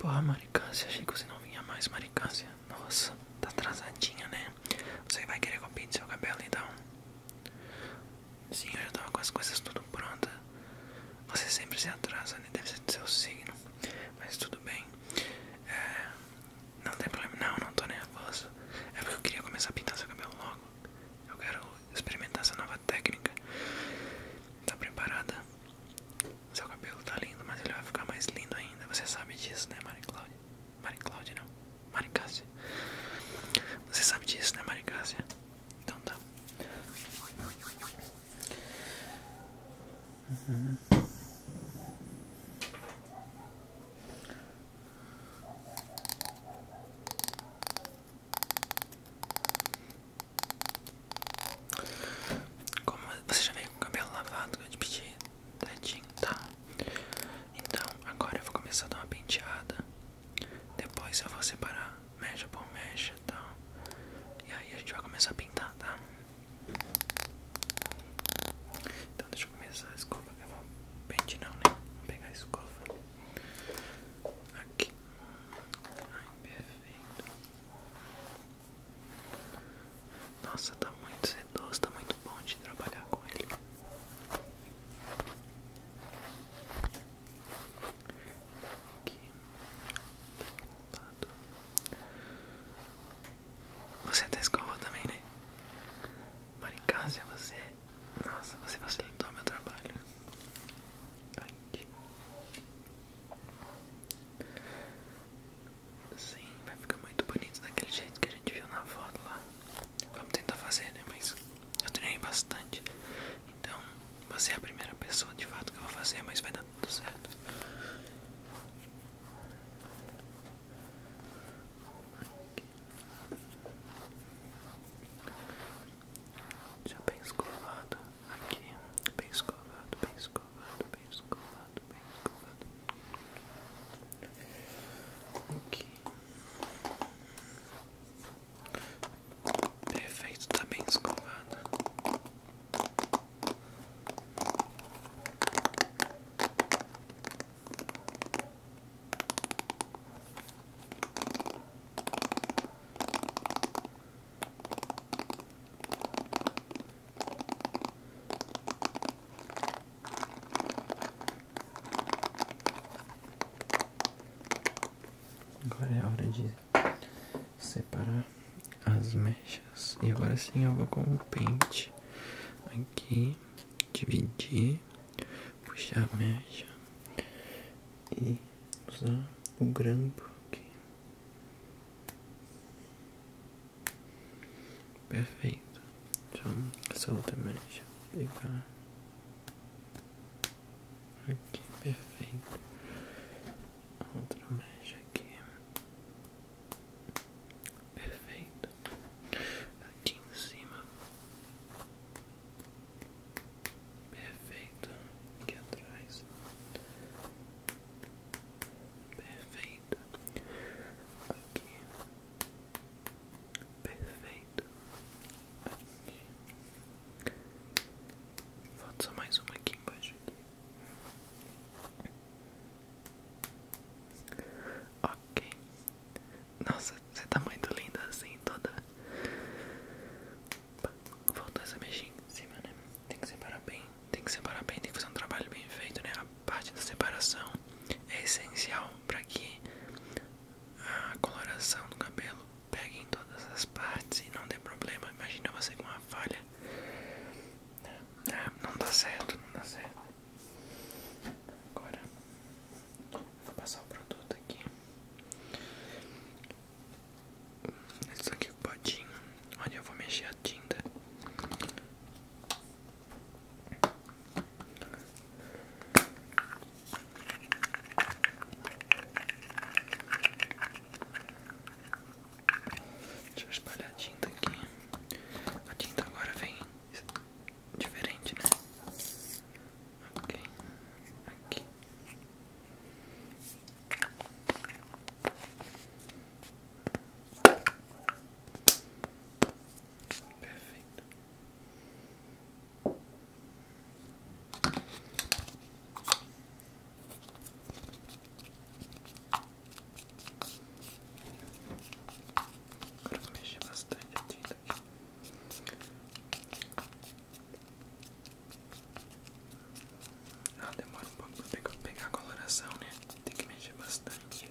Porra, Maricácia, achei que você não vinha mais, Maricácia. Nossa, tá atrasadinha, né? Você vai querer que eu pinte seu cabelo, então? Sim, eu já tava com as coisas tudo pronta. Você sempre se atrasa, né? Deve ser do seu signo. Mas tudo bem. É, não tem problema, não, não tô nervoso. É porque eu queria começar a pintar seu cabelo logo. Eu quero experimentar essa nova técnica. Tá preparada? Seu cabelo tá lindo, mas ele vai ficar mais lindo ainda. Você sabe disso, né, Mari Cláudia? Mari Cláudia não, Mari Cássia. Você sabe disso, né, Mari Cássia? Então tá. Como você já veio com o cabelo lavado que eu te pedi, tadinho, tá? Então agora eu vou começar a dar uma penteada. Depois eu vou separar mecha por mecha e tal. E aí a gente vai começar a pintar, tá? Então deixa eu começar a escova. Eu vou pente não, né? Vou pegar a escova. Aqui. Ai, perfeito. Nossa, tá muito sedoso, tá muito bom de trabalhar com ele. Aqui. Lado. Você até escova também, né? Maricásia, você. Nossa, você facilitou meu trabalho. Aqui. Sim, vai ficar muito bonito daquele jeito que a gente viu na foto lá. Vamos tentar fazer, né? Mas eu treinei bastante. Então, você é a primeira pessoa de fato que eu vou fazer, mas vai dar tudo certo. Já bem escovado aqui, bem escovado, bem escovado, bem escovado, bem escovado. Aqui. Perfeito, tá bem escovado. Agora é a hora de separar as mechas. E agora sim eu vou com o pente aqui, dividir, puxar a mecha e usar o grampo aqui. Perfeito. Então, essa outra mecha pegar aqui, perfeito. outra mecha aqui. Perfeito. Aqui em cima. Perfeito. Aqui atrás. Perfeito. Aqui. Perfeito. Aqui. Falta só mais uma aqui embaixo. Aqui. Ok. Nossa, você tá muito linda assim, toda. Voltou essa mexinha em cima, né? Tem que separar bem, tem que separar bem, tem que fazer um trabalho bem feito, né? A parte da separação é essencial para que a coloração do cabelo pegue em todas as partes e não dê problema. Imagina você com uma falha não dá certo, não dá certo. Agora vou passar o produto aqui. Isso aqui é o potinho. Olha, eu vou mexer a tinta. Deixa eu espalhar a tinta aqui. A tinta agora vem diferente, né? Ok. Aqui. Perfeito. Agora vou mexer bastante a tinta tá aqui. Ah, demora um pouco pra pegar a coloração, né? Tem que mexer bastante.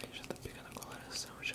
Aí já tá pegando a coloração já.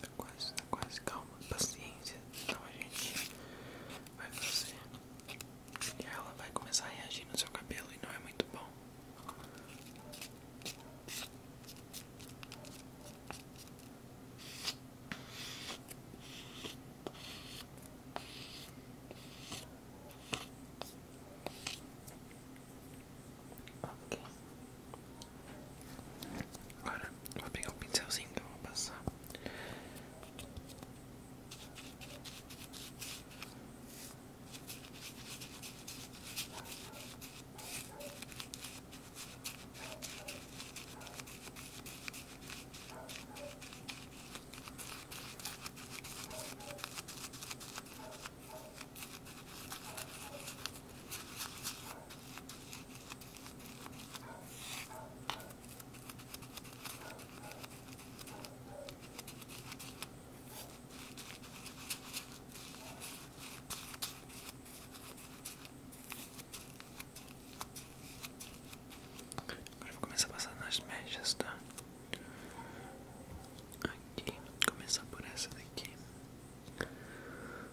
Tá quase, tá quase calma, paciência. Então a gente vai fazer. E ela vai começar a reagir no seu cabelo e não é muito bom. Ok. Agora vou pegar o pincelzinho que eu vou passar. Agora vou começar a passar nas mechas, tá? Aqui, começar por essa daqui.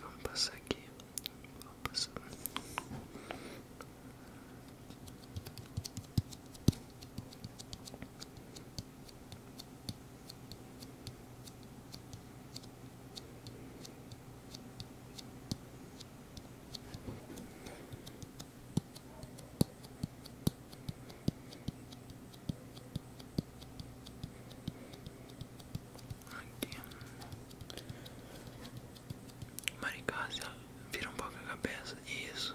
Vamos passar aqui. Vamos passar. Vamos Aqui. Maricá, vira um pouco a cabeça. Isso.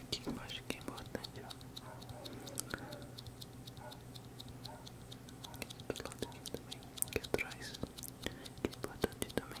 Aqui eu acho que é importante, ó. Aqui também, aqui é atrás. Que é importante também.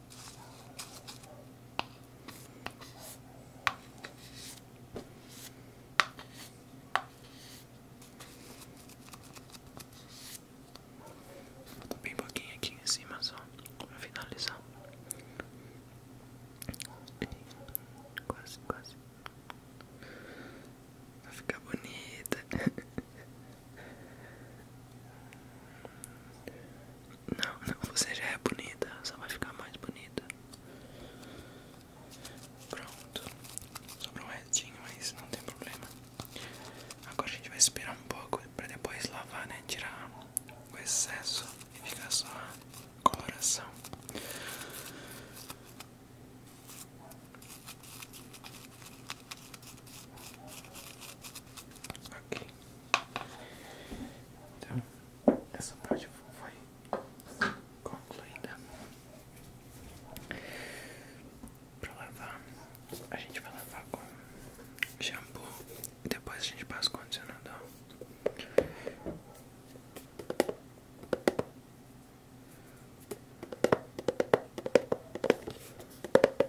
Tô bem pouquinho aqui em cima só para finalizar. Quase, quase. Vai ficar bonita. Não, não, você já é bonita, só vai ficar mais bonita. Pronto, sobrou um restinho, mas não tem problema. Agora a gente vai esperar um pouco pra depois lavar, né? Tirar o excesso e ficar só a coloração. Ok. Então, essa parte foi concluída. Pra lavar, a gente vai lavar com shampoo e depois a gente passa o condicionador.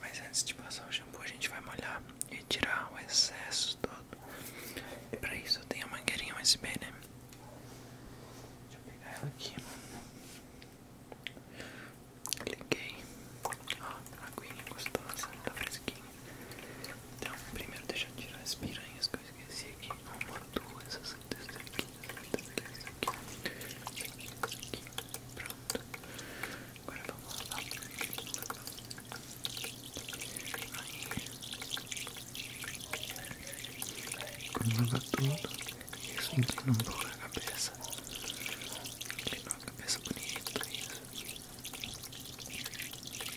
Mas antes de passar o shampoo, a gente vai molhar e tirar o excesso todo. E pra isso eu tenho a mangueirinha USB, né? Deixa eu pegar ela aqui. Liguei. Ó, tá a aguinha gostosa, tá fresquinha. Então, primeiro deixa eu tirar as piranhas que eu esqueci y amor, tú esas desde aquí, aquí, aquí, pronto. Ahora vamos a todo y eso un poco la cabeza. la cabeza bonito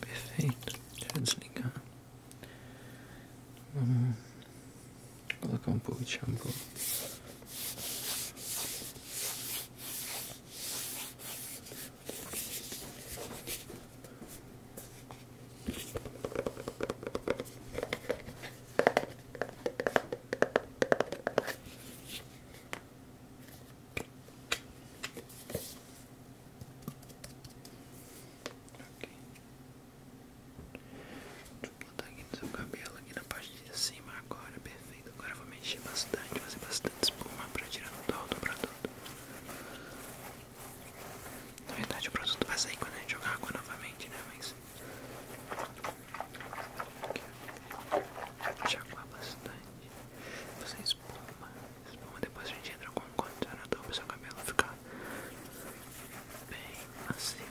Perfeito, deixa eu desligar. Hum. Vou colocar um pouco de shampoo. Deixa eu botar aqui no seu cabelo, aqui na parte de cima agora, perfeito. Agora eu vou mexer bastante, fazer bastante espuma pra tirar o dó do produto. Na verdade o produto vai sair quando a gente jogar água novamente, né? Mas. Deixa aguar bastante. Você espuma. Espuma depois a gente entra com um condicionador para seu cabelo ficar bem macio.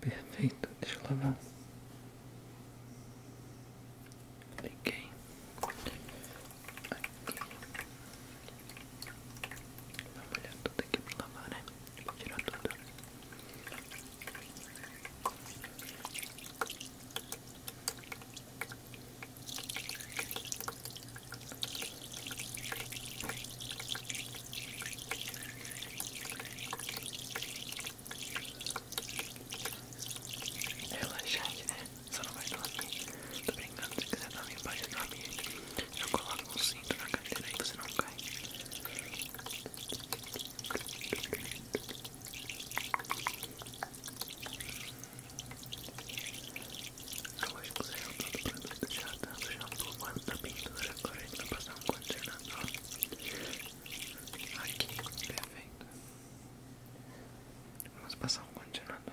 Perfeito, deixa lavar. Liguei aqui. Vou molhar tudo né? Vou tirar tudo. Você não vai dormir. Tô brincando, se quiser dormir, pode dormir. Eu coloco um cinto na cadeira e você não cai. Agora que você tá todo produto já tá no shampoo, mano, da tá pintura. Agora a gente vai passar um condicionador. Aqui, perfeito. Vamos passar um condicionador.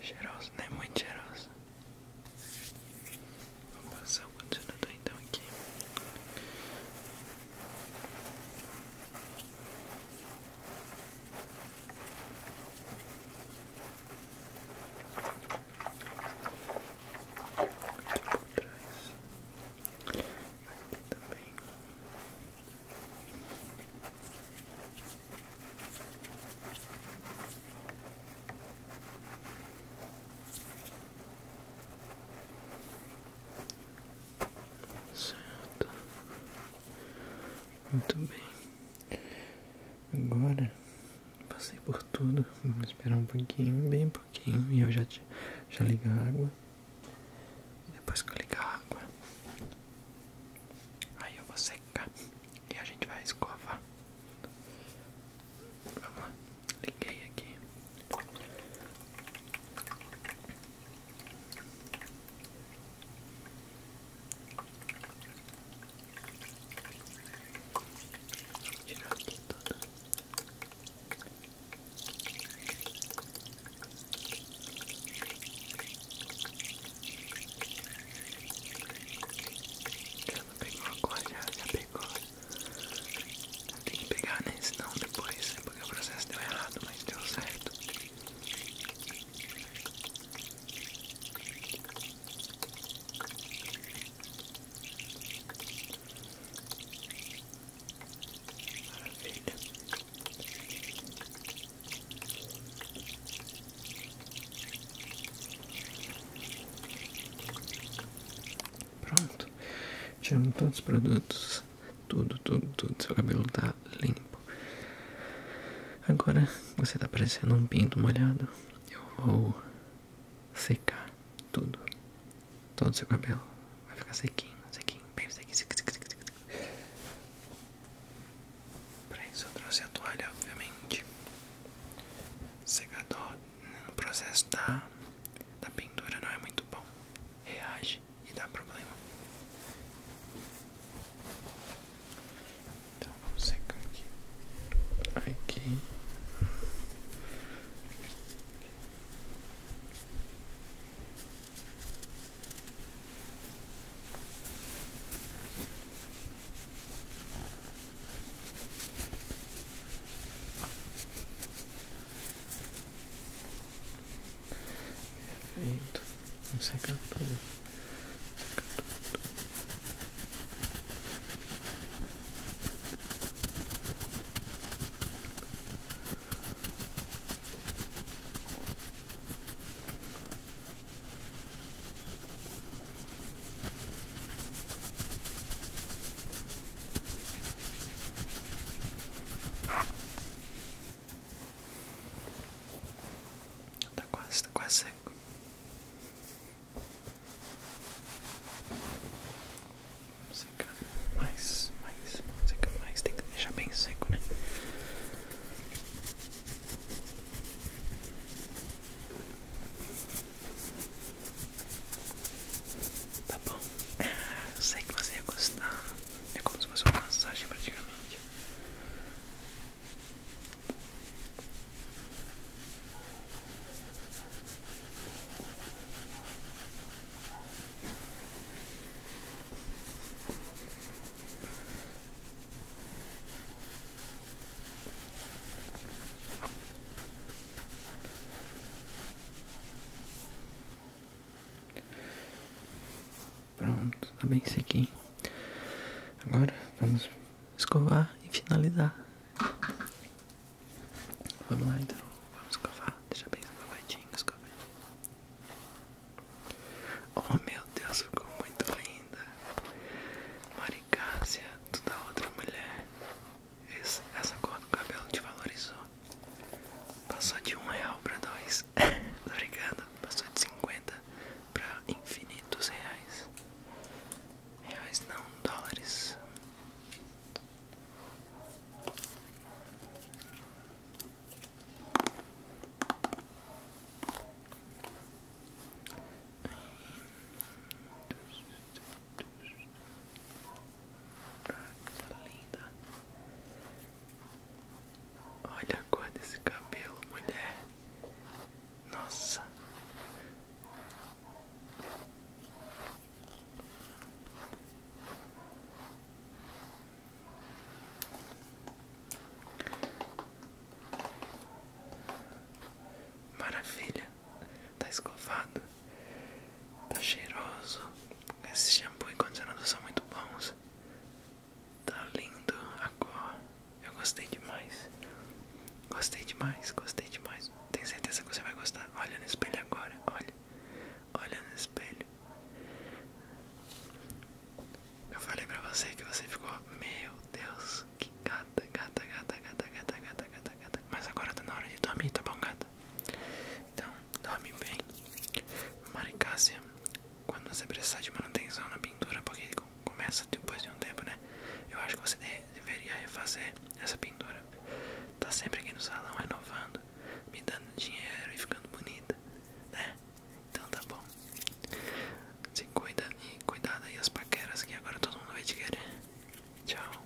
Cheiroso, né? Muito cheiroso. vamos passar o condicionador então aqui aqui também. Certo. Muito bem. Agora passei por tudo. Vamos esperar um pouquinho, bem pouquinho, e eu já, já ligo a água. Depois que eu ligar a água, aí eu vou secar e a gente vai escovar. Vamos lá, liguei aqui. Tirar aqui tudo. Já pegou agora, já, já pegou. Tem que pegar, né? Senão depois, porque o processo deu errado, mas deu certo. Maravilha. Pronto. Tiramos todos os produtos. Tudo, tudo, tudo. Seu cabelo tá limpo. Agora você tá parecendo um pinto molhado. Eu vou secar tudo, todo o seu cabelo vai ficar sequinho, sequinho, bem sequinho, sequinho, sequinho, sequinho. Para isso eu trouxe a toalha, obviamente, secador né, no processo da, da pintura não é muito bom, reage e dá problema. Então vamos secar aqui, aqui. Perfeito, não seca tudo. Seca tudo. Tá quase, tá quase seco. Seca mais, mais, seca mais, tem que deixar bem seco, né? Tá bom, sei que você ia gostar. É como se fosse uma massagem praticamente. Pronto, tá bem sequinho. Agora vamos escovar e finalizar. Vamos lá então, vamos escovar, deixa bem escovadinho, escovadinho. Oh meu Deus, ficou muito linda. Maricácia, tu da outra mulher. essa cor do cabelo te valorizou. Passou de um real pra dois. Obrigado, passou de 50 pra infinitos reais. Reais não, dólares. Tá linda. Olha a cor desse cabelo, mulher. Nossa. Maravilha, tá escovado, tá cheiroso. esses shampoo e condicionador são muito bons. Tá lindo a cor, eu gostei demais. Gostei demais, gostei demais. Tenho certeza que você vai gostar. Olha no espelho agora, olha. Olha no espelho. Eu falei pra você que você ficou. Meu Deus, que gata, gata, gata, gata, gata, gata, gata, gata. Mas agora tá na hora de dormir, tá bom, gata? Então, dorme bem. Maricácia, quando você precisar de manutenção na pintura, porque começa depois de um tempo, né? Eu acho que você deveria refazer essa pintura. Tá sempre aqui no salão renovando, me dando dinheiro e ficando bonita, né? Então tá bom. Se cuida e cuidado aí as paqueras que agora todo mundo vai te querer. Tchau.